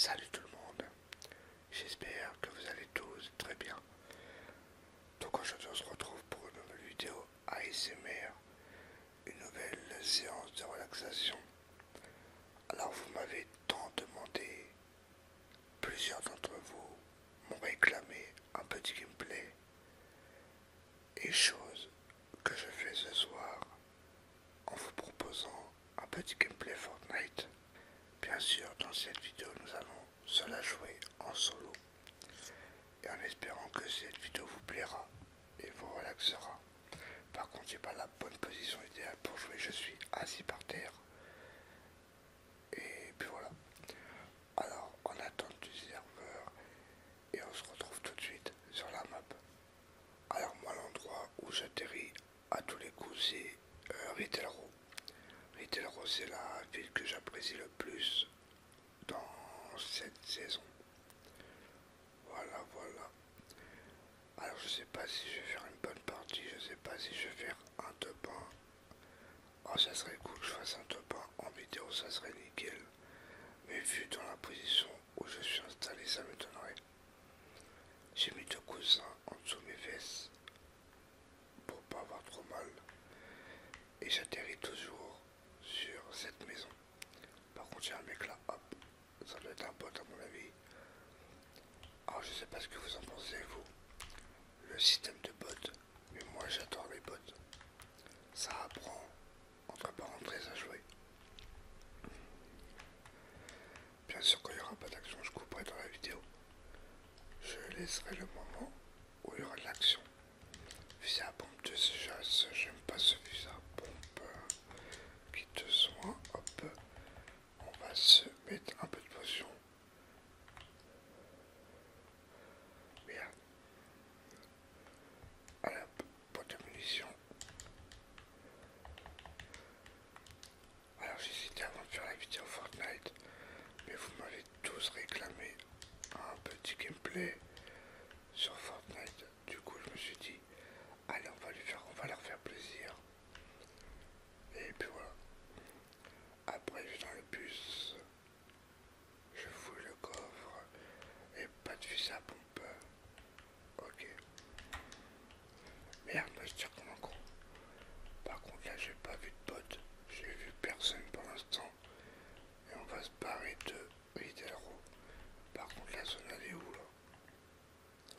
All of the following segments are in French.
Salut tout le monde, j'espère que vous allez tous très bien. Donc aujourd'hui on se retrouve pour une nouvelle vidéo ASMR, une nouvelle séance de relaxation. Alors vous m'avez tant demandé, plusieurs d'entre vous m'ont réclamé un petit gameplay et chose que je fais ce soir en vous proposant un petit gameplay Fortnite. Bien sûr, dans cette vidéo, nous allons se la jouer en solo. Et en espérant que cette vidéo vous plaira et vous relaxera. Par contre, j'ai pas la bonne position idéale pour jouer. Je suis assis par terre. Et puis voilà. Alors, on attend du serveur et on se retrouve tout de suite sur la map. Alors, moi, l'endroit où j'atterris à tous les coups, c'est euh, Ritalro Ritalro c'est la ville que j'apprécie le plus dans cette saison. Voilà, voilà. Alors, je sais pas si je vais faire une bonne partie, je sais pas si je vais faire un top 1. Oh, ça serait cool que je fasse un top 1 en vidéo, ça serait nickel. Mais vu dans la position où je suis installé, ça me donnerait J'ai mis deux coussins en dessous mes fesses pour pas avoir trop mal. Et j'atterris toujours sur cette maison. Par contre, j'ai un mec là, hop, ça doit être un bot à mon avis. Alors, je sais pas ce que vous en pensez, vous. Le système de bot mais moi j'adore les bots, Ça apprend, pas rentrer à jouer. Bien sûr qu'il n'y aura pas d'action, je couperai dans la vidéo. Je laisserai le moment où il y aura de l'action. Visa à pompe de chasse, j'aime pas ce visa à pompe euh, qui te soigne, Hop, on va se mettre un peu de potion. Bien. À de munitions. Alors j'hésitais avant de faire la vidéo Fortnite, mais vous m'avez tous réclamé un petit gameplay sur Fortnite. Du coup je me suis dit, allez on va lui faire, on va leur faire plaisir. Et puis voilà. Après, je dans le bus. Je fouille le coffre et pas de fusil à pompe. Ok. Merde, je tire comme un gros. Par contre, là, j'ai pas vu de pote. J'ai vu personne pour l'instant. Et on va se barrer de Hidalgo. Par contre, la zone, elle est où là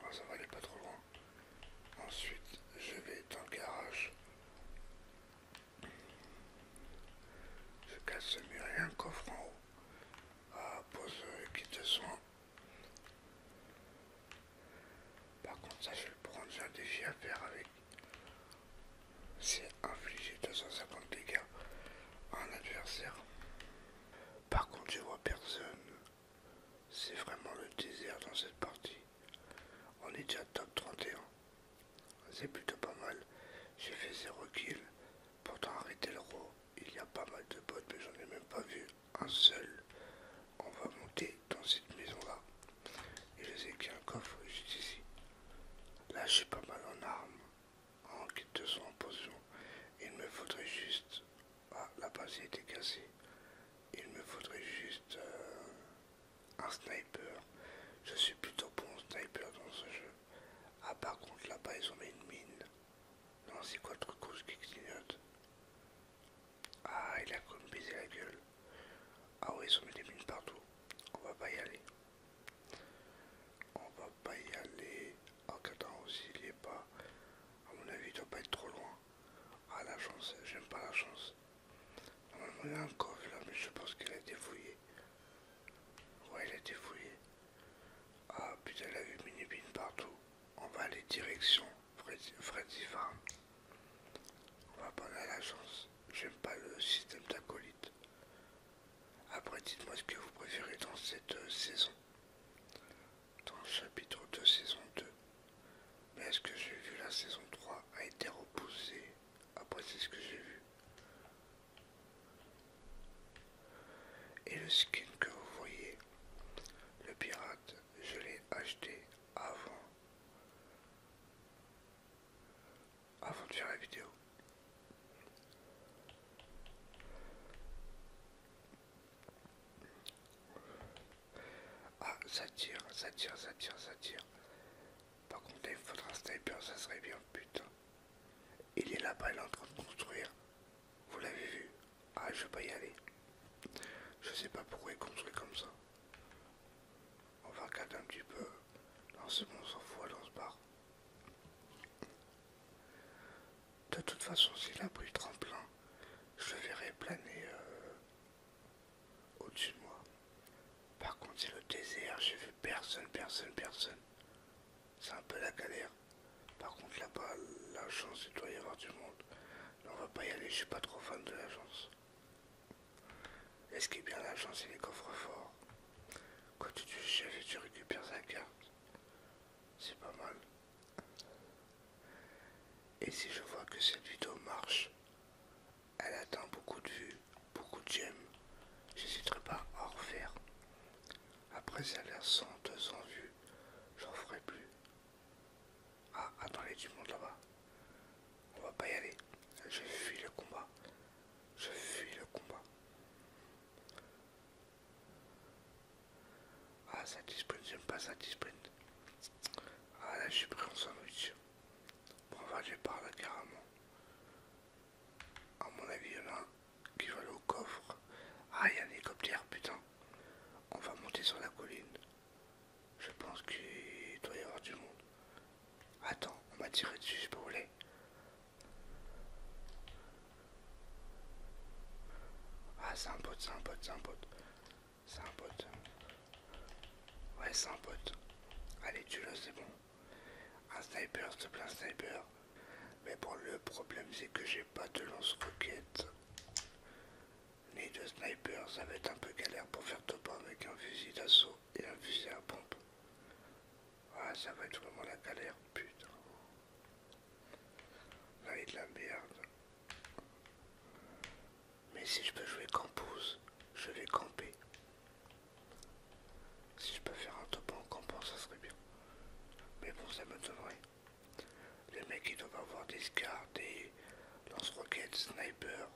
ah, Ça va aller pas trop loin. Ensuite, je vais dans le garage. Je casse le mur et un coffre en haut. Ah, pose euh, qui te Par contre, ça je vais le prendre. J'ai un défi à faire avec. C'est infliger 250 dégâts à un adversaire. Par contre, je vois personne. C'est vraiment le désert dans cette partie. On est déjà top 31. C'est plutôt pas mal. J'ai fait 0 kill. Pourtant arrêter le roi il y a pas mal de potes mais j'en ai même pas vu un seul. On va monter dans cette maison-là. Et je sais qu'il y a un coffre juste ici. Là j'ai pas mal en armes. En kit de son en potion. Il me faudrait juste... Ah, la base a été cassée. Il me faudrait juste euh, un sniper. Je suis plutôt bon sniper dans ce jeu. Ah par contre là-bas ils ont mis une mine. Non c'est quoi le truc ce qui clignote Ah il a comme baisé la gueule. Ah ouais ils ont mis des mines partout. On va pas y aller. On va pas y aller. en oh, aussi il y est pas. À mon avis il doit pas être trop loin. Ah, la chance, j'aime pas la chance. Normalement, il a un coffre là, mais je pense qu'il a été fouillé. Ouais, il a été Ah, putain, elle a vu mini partout. On va aller direction Freddy, Farm. On va pas aller à la chance. J'aime pas le système d'acolyte. Après, dites-moi ce que vous préférez dans cette euh, saison dans le chapitre 2 saison 2. Mais est-ce que j'ai vu la saison 3 a été repoussée Après c'est ce que j'ai vu. Et le skin que vous voyez, le pirate, je l'ai acheté avant. Avant de faire la vidéo. Ah, ça tire, ça tire, ça tire, ça tire. Par contre, il faudra un sniper, ça serait bien, putain. Il est là-bas, il est en train de construire. Vous l'avez vu Ah, je vais pas y aller. Je sais pas pourquoi il construit comme ça. On va regarder un petit peu. Non, c'est bon, on s'en fout, on se barre. De toute façon, s'il a pris je le verrai planer euh, au-dessus de moi. Par contre, c'est le désert, j'ai vu personne, personne, personne. C'est un peu la galère. Par contre, là-bas, la chance, il doit y avoir du monde. on va pas y aller, je suis pas trop fan de l'agence, est-ce ce y a bien l'agence et les coffres forts. Quand tu cherches tu récupères sa carte, c'est pas mal. Et si je vois que cette vidéo marche, elle atteint beaucoup de vues, beaucoup de j'aime, j'hésiterai pas à en refaire. Après si elle a 100, 200 vues, j'en ferai plus. Ah, attendez du monde là-bas. On va pas y aller. Je fuis le combat. Je fuis le combat. Ah, ça je j'aime pas ça Ah, là, je suis pris en sandwich. Bon, on va aller par là carrément. À mon avis, il y en a un qui va aller au coffre. Ah, il y a un hélicoptère, putain. On va monter sur la colline. Je pense qu'il doit y avoir du monde. Attends, on m'a tiré dessus, je peux rouler. Ah c'est un pote, c'est un pote, c'est un pote. C'est un pote. Ouais c'est un pote. Allez tu le c'est bon. Un sniper, s'il te plaît, un sniper. Mais bon le problème c'est que j'ai pas de lance-roquette. Ni de sniper, ça va être un peu galère pour faire top avec un fusil d'assaut et un fusil à pompe. Ah ça va être vraiment la galère, putain. Là, il y de la merde. Mais si je peux jouer Campus, je vais camper. Si je peux faire un top en campant, ça serait bien. Mais bon, ça me donnerait. Les mecs, ils doivent avoir des scars, des lance-roquettes, snipers.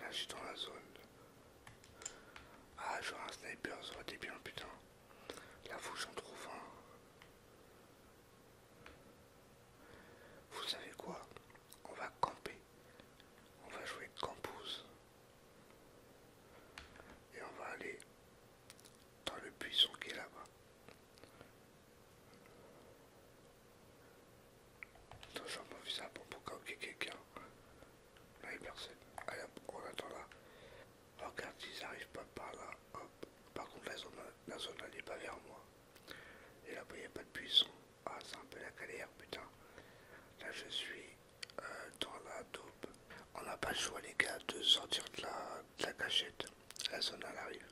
Là, je suis dans la zone. Ah, j'aurais un sniper, ça aurait été bien, putain. La vous en trouve un. Vous savez quoi On va camper. On va jouer campouse. Et on va aller dans le buisson qui est là-bas. Toujours ça pour quelqu'un. Là, il n'y personne. Allez on attend là. regarde ils arrivent pas par là. Hop. Par contre, la zone, la zone elle n'est pas vers moi. Et là-bas, il n'y a pas de buisson. Ah, c'est un peu la galère, putain. Là, je suis euh, dans la taupe. On n'a pas le choix, les gars, de sortir de la, de la cachette. La zone, elle arrive.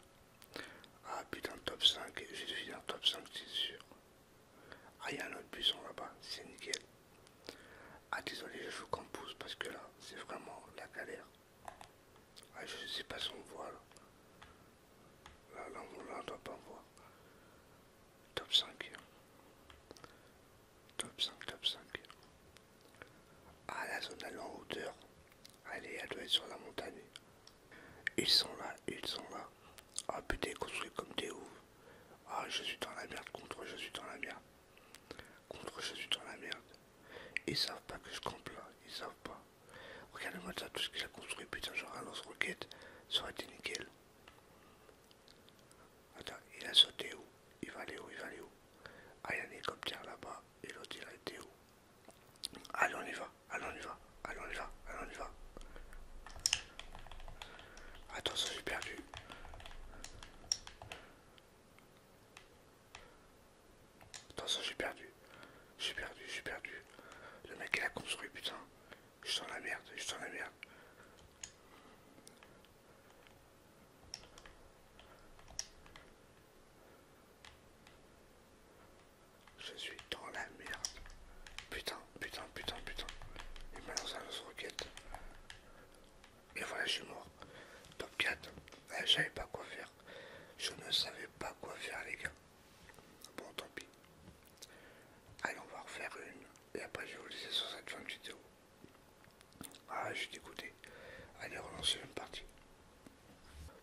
Ah, putain, top 5. Je suis dans top 5, c'est sûr. Ah, il y a un autre buisson là-bas. C'est nickel. Ah désolé, je joue qu'en pousse parce que là, c'est vraiment la galère. Ah, je sais pas si on voit là. Là, là, on, doit pas voir. Top 5. Top 5, top 5. Ah, la zone elle est en hauteur. Allez, elle doit être sur la montagne. Ils sont là, ils sont là. Ah putain, construit comme des ouf. Ah, je suis dans la merde contre, je suis dans la merde. Contre, je suis dans la merde. Ils savent pas que je campe là, ils savent pas. regardez moi tout ce qu'il a construit, putain, genre un lance-roquette, ça aurait été nickel. Attends, il a sauté où Il va aller où Il va aller où Ah, il y a un hélicoptère là-bas, et l'autre il a été où Allez, on y va, allons on y va, allons on y va, allons y va. Attention, j'ai perdu. Attention, j'ai perdu. J'ai perdu, suis perdu. Le mec, il a construit, putain. Je suis dans la merde, je suis dans la merde. Je suis dans la merde. Putain putain, putain, putain. Il m'a lancé un roquette. Et voilà, je suis mort. Top 4. Ah, je savais pas quoi faire. Je ne savais pas quoi faire, les gars. Bon, tant pis. Allez, on va refaire une. Et après, je vais vous laisser sur cette fin de vidéo. Ah, je suis dégoûté. Allez, relancer une partie.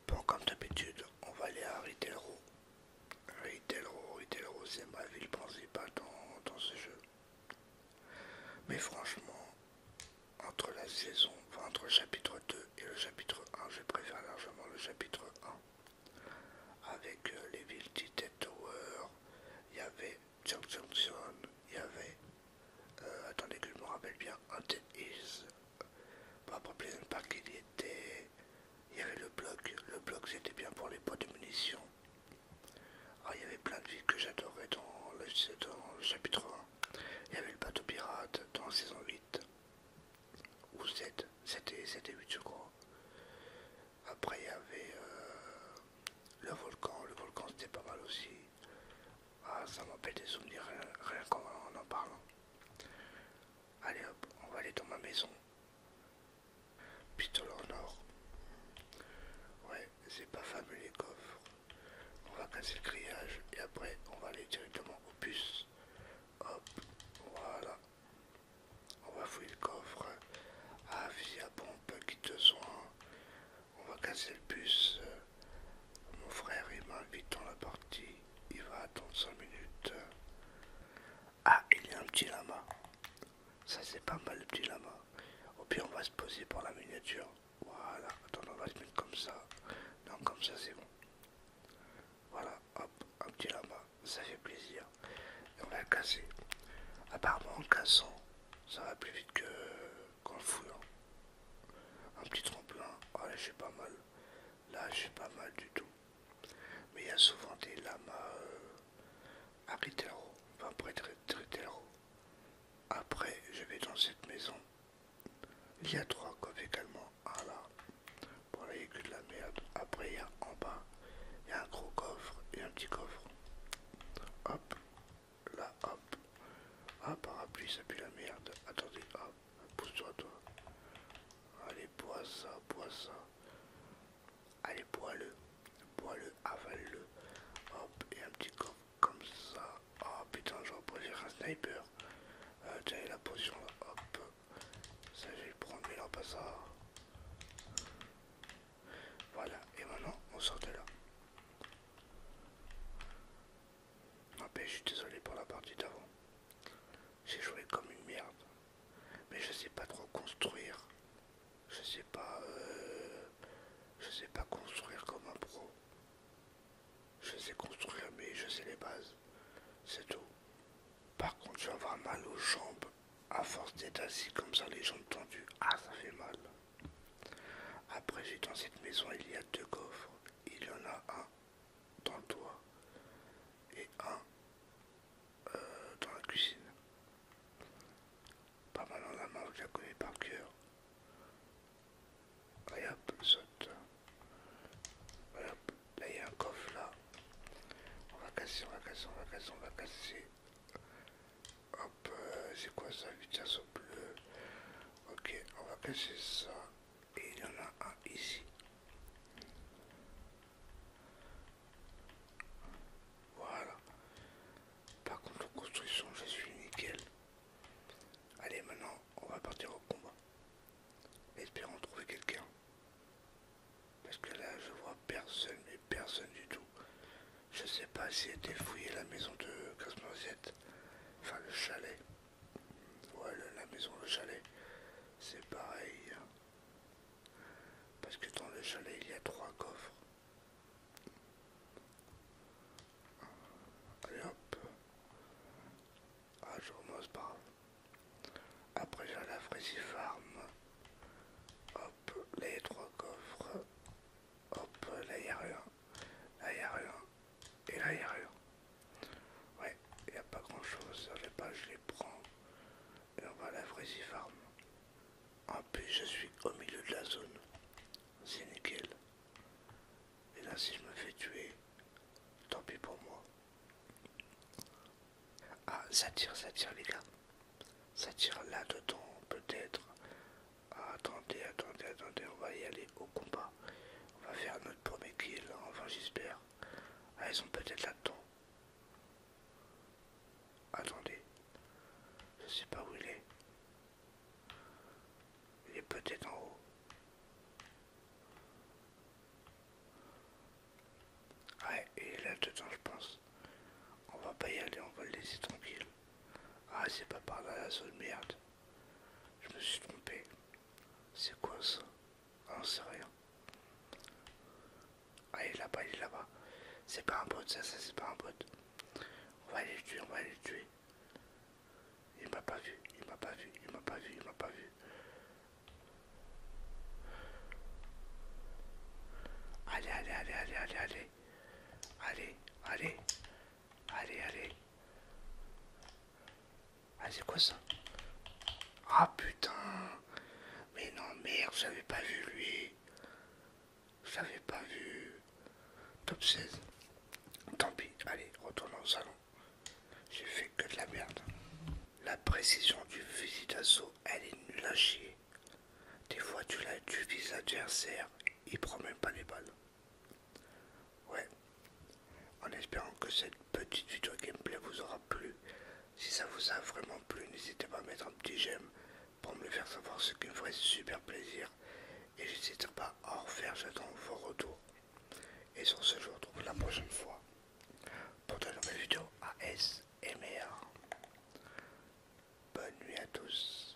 Bon, comme d'habitude, on va aller à Ritelro. Ritelro, Ritelro, c'est ma ville principale dans, dans ce jeu. Mais franchement, entre la saison, entre le chapitre 2 et le chapitre 1, je préfère largement le chapitre 1. Avec euh, les villes Tower, il y avait John Johnson, il y avait. Euh, attendez que je me rappelle bien, un Hills. pas problème Park, il y était. Il y avait le bloc. Le bloc, c'était bien pour les pots de munitions. Ah, il y avait plein de villes que j'adorais dans, le chapitre 1. Il y avait le bateau pirate dans la saison 8 ou 7, c'était et 8 je crois. Après il y avait euh, le volcan, le volcan c'était pas mal aussi. Ah, ça m'appelle des souvenirs rien, qu'en en, en parlant. Allez hop, on va aller dans ma maison. Pistole en or. Ouais, c'est pas fameux les coffres. On va casser le grillage et après on va aller directement au bus. Hop, voilà. On va fouiller le coffre. Ah, fusil à pompe, qui te soins On va casser le bus. Mon frère il m'invite dans la partie. Il va attendre 5 minutes. Ah, il y a un petit lama. Ça c'est pas mal le petit lama. Au pire on va se poser pour la miniature. Voilà, attends, on va se mettre comme ça. Non, comme ça c'est bon. Voilà, hop, un petit lama, ça fait plaisir. Et on va le casser. Apparemment en cassant, ça va plus vite que qu'en fouillant. Un petit tremplin, voilà oh, je suis pas mal. Là, je suis pas mal du tout. Mais il y a souvent des lamas euh, à Ritero, enfin près de Après, je vais dans cette maison. Il y a trois coffres également. Ah là, pour a que de la merde. Après, il y a en bas, il y a un gros coffre et un petit coffre. Hop, là, hop. Ah, parapluie, ça pue la merde. Attendez, hop, ah, pousse-toi, toi. Allez, bois ça, bois ça. Allez, bois-le. Bois-le, avale-le. Hop, et un petit coffre comme ça. Oh putain, je vais poser un sniper. Euh, tiens, la position là. Hop. Ça, je vais prendre, mais là, pas ça. Voilà, et maintenant, on sort de là. je suis désolé pour la partie d'avant. J'ai joué comme une merde mais je sais pas trop construire. Je sais pas, euh, je sais pas construire comme un pro. Je sais construire, mais je sais les bases. C'est tout. Par contre, je vais mal aux jambes à force d'être assis comme ça, les jambes tendues. Ah, ça fait mal. Après, j'ai dans cette maison, il y a deux coffres. Il y en a un dans le toit et un euh, dans la cuisine. Pas mal en la marque la connais par cœur. et hop, saute. là il y a un coffre là. On va casser, on va casser, on va casser, on va casser. Hop, euh, c'est quoi ça 8 ça bleu. Ok, on va casser ça et il y en a un ici. Voilà. Par contre en construction je suis nickel. Allez maintenant on va partir au combat. Espérons trouver quelqu'un. Parce que là je vois personne mais personne du tout. Je sais pas si été fouiller la maison de Cosmosette. Enfin le chalet. Ouais la maison, le chalet. C'est pareil. Hein. Parce que dans le chalet, ah, il y a trois coffres. hop. je Après, j'ai la Frécy Farm. Hop, les trois coffres. Hop, là, il rien. Là, rien. Et là, il rien. Ouais, il a pas grand chose. Les pas je les prends. Et on va à la Vrazy Farm. En plus, je suis au milieu de la zone. C'est nickel. Et là, si je me fais tuer, tant pis pour moi. Ah, ça tire, ça tire, les gars. Ça tire là-dedans, peut-être. Ah, attendez, attendez, attendez. On va y aller au combat. On va faire notre premier kill, hein, enfin, j'espère. Ah, ils sont peut-être là-dedans. Attendez. Je sais pas où il est. Il est peut-être en haut. Ouais, il est là-dedans, je pense. On va pas y aller, on va le laisser tranquille. Ah, c'est pas par là la zone, merde. Je me suis trompé. C'est quoi ça on sait rien. Ah, il est là-bas, il est là-bas. C'est pas un bot, ça, ça c'est pas un bot. On va aller le tuer, on va aller le tuer. Il m'a pas vu, il m'a pas vu, il m'a pas vu, il m'a pas vu. allez, allez, allez, allez, allez. Allez, allez. Allez, allez. Ah, c'est quoi ça Ah, putain Mais non, merde, j'avais pas vu lui. J'avais pas vu. Top 16. Tant pis, allez, retournons au salon. J'ai fait que de la merde. La précision du visite d'assaut, elle est nul à Des fois, tu du vis adversaire, il prend même pas les balles. Ouais. En espérant que cette petite vidéo gameplay vous aura plu. Si ça vous a vraiment plu, n'hésitez pas à mettre un petit j'aime pour me le faire savoir, ce qui me ferait super plaisir. Et n'hésitez pas à en refaire, j'attends vos retours. Et sur ce, je vous retrouve la prochaine fois pour de nouvelles vidéos ASMR. Bonne nuit à tous.